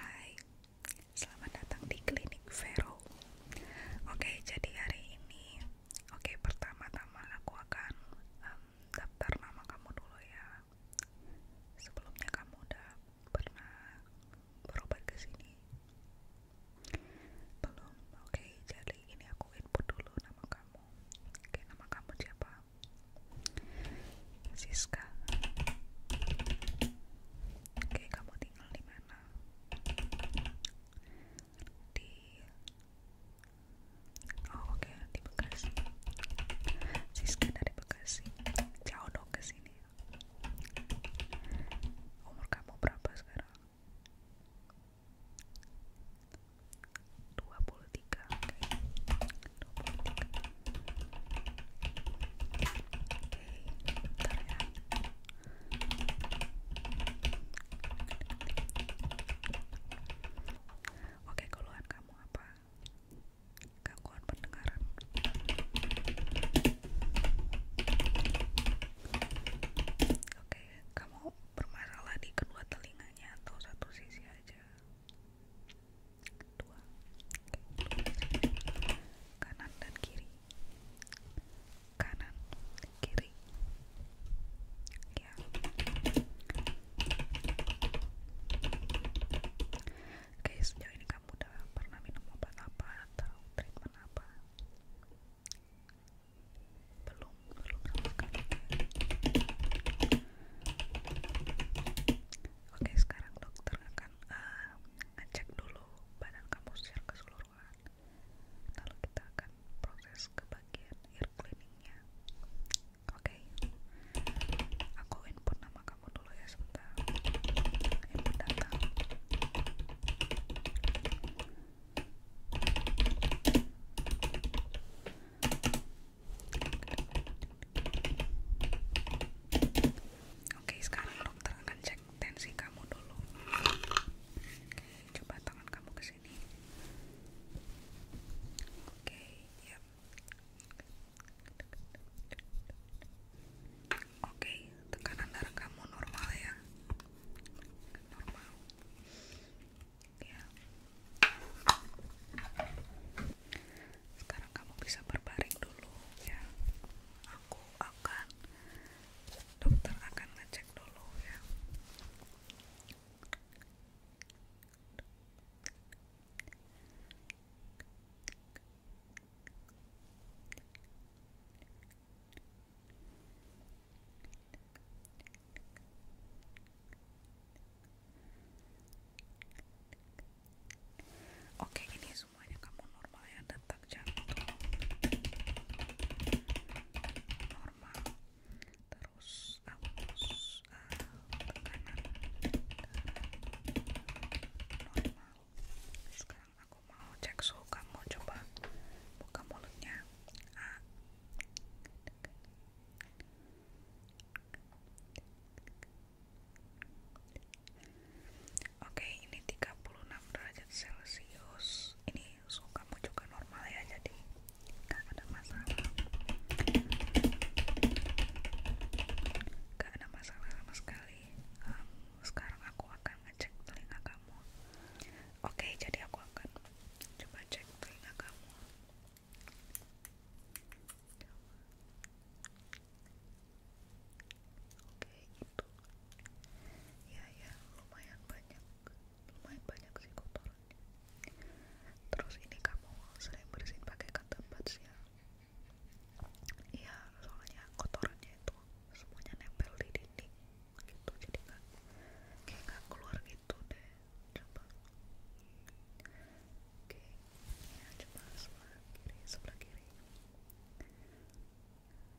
Hai, selamat datang di klinik Vero. Oke, jadi hari ini, oke pertama-tama aku akan daftar nama kamu dulu ya. Sebelumnya kamu udah pernah berobat ke sini? Belum. Oke, jadi ini aku input dulu nama kamu. Oke, nama kamu siapa? Siska Oke kamu tinggal di mana? Di Oh oke di Bekasi Siska dari Bekasi Jauh dong ke sini Umur kamu berapa sekarang? Dua puluh tiga. Oke, keluhan kamu apa? Gangguan pendengaran. Oke, kamu bermasalah di kedua telinganya atau satu sisi aja? dua kanan dan kiri kanan kiri ya oke sejauh ini kamu udah pernah minum apa atau treatment apa belum belum sama sekali Oke, sekarang dokter akan uh, ngecek dulu badan kamu secara keseluruhan. Lalu kita akan proses ke bagian ear cleaningnya. Oke, aku input nama kamu dulu ya sebentar. Input data. Oke, Oke, sekarang dokter akan cek tensi kamu dulu. coba tangan kamu ke sini. Oke, ya. Oke, tekanan darah kamu normal ya. Normal. Ya. Sekarang kamu bisa berbaring dulu ya. Aku akan dokter akan ngecek dulu ya. Oke, ini semuanya kamu normal ya, detak jantung normal. Terus arus uh, tekanan normal. Sekarang aku mau cek suka, mau coba buka mulutnya. A. Oke, ini tiga puluh enam derajat Celcius. Ini suhu kamu juga normal ya, jadi gak ada masalah. Gak ada masalah sama sekali. Um, sekarang aku akan ngecek telinga kamu. Oke, jadi aku akan coba cek telinga kamu. Oke itu ya ya lumayan banyak lumayan banyak sih kotorannya terus ini kamu sering bersihin pakai ketempat sih ya iya soalnya kotorannya itu semuanya nempel di dinding gitu jadi nggak kayak nggak keluar gitu deh coba oke ya coba sebelah kiri sebelah kiri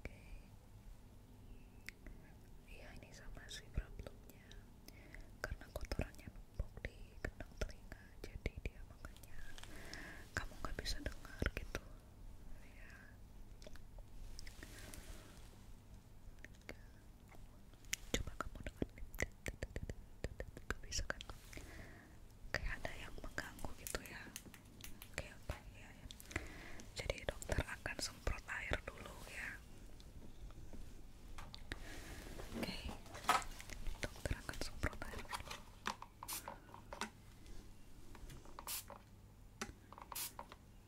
oke iya ini sama sih problemnya karena kotorannya numpuk di gendang telinga jadi dia makanya kamu nggak bisa dengar gitu iya coba kamu dengerin gak bisa kan kayak ada yang mengganggu gitu ya oke oke ya, jadi dokter akan semprot air dulu ya oke dokter akan semprot air dulu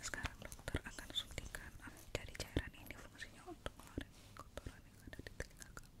Sekarang dokter akan suntikan dari cairan ini fungsinya untuk ngeluarin kotoran yang ada di telinga kamu.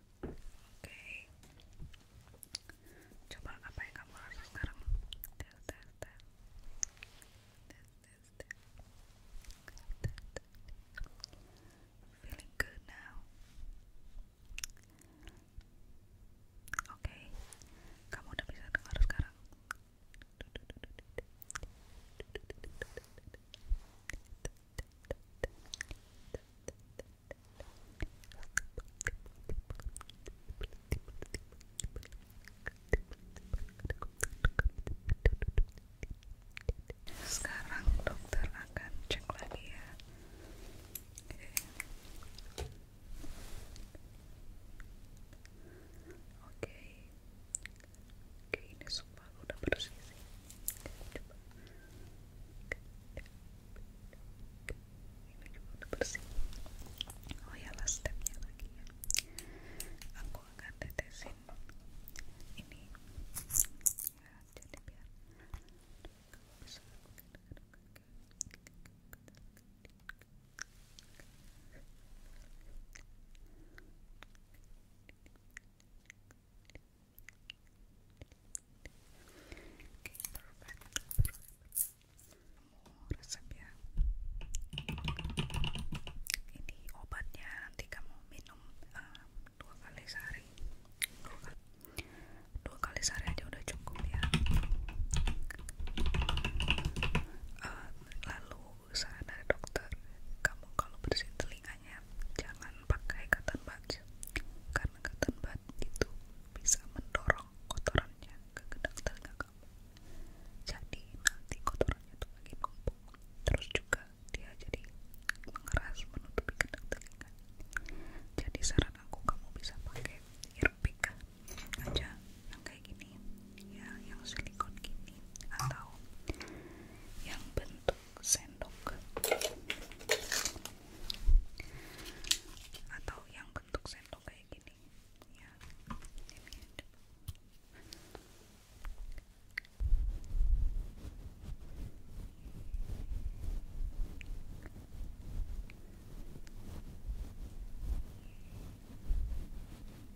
Okay. Coba apa kamu rasa sekarang? Feeling good now. Okay. Kamu udah bisa dengar sekarang. Sekarang dokter akan cek lagi ya. Oke oke ini semua udah bersih sih ini juga udah bersih oh ya last stepnya lagi ya aku akan tetesin ini ya jadi biar Ya. ini obatnya nanti kamu minum eh, dua kali sehari dua kali, dua sehari aja udah cukup ya eh, lalu saran dari dokter kamu kalau bersih telinganya jangan pakai cotton bud karena cotton bud itu bisa mendorong kotorannya ke gedang telinga kamu jadi nanti kotorannya tuh makin numpuk terus juga dia jadi mengeras menutupi gedang telinga jadi saran aku kamu bisa pakai earpick aja kayak gini ya yang silikon gini atau yang bentuk sendok atau yang bentuk sendok kayak gini ya,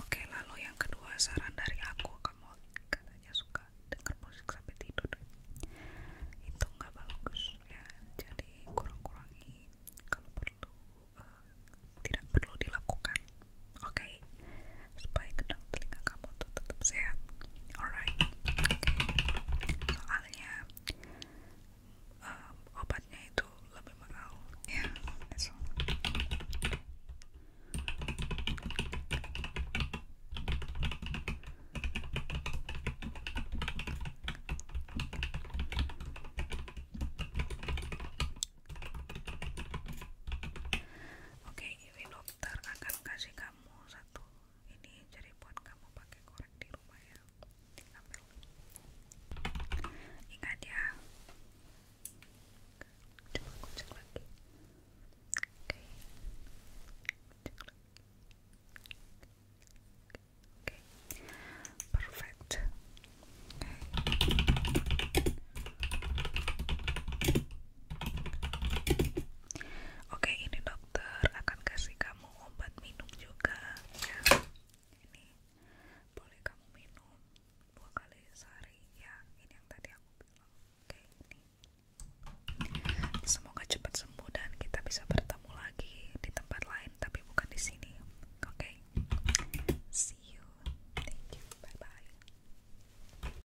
Oke, lalu yang kedua saran dari aku, kamu katanya suka denger musik sampai tidur. Itu nggak bagus ya. Jadi kurang-kurangi kalau perlu eh, tidak perlu dilakukan. Oke. Supaya kedang telinga kamu tetap sehat alright soalnya um, obatnya itu lebih mahal ya Oke, okay, ini dokter akan kasih kamu satu ini jeripuan kamu pakai korek di rumah ya ingat ya coba aku cek lagi perfect Oke, ini dokter akan kasih kamu obat minum juga. Ya. Ini boleh kamu minum dua kali sehari. Ya, ini yang tadi aku bilang. Oke, ini. Semoga cepat sembuh dan kita bisa bertemu lagi di tempat lain, tapi bukan di sini. Oke. See you. Thank you. Bye bye.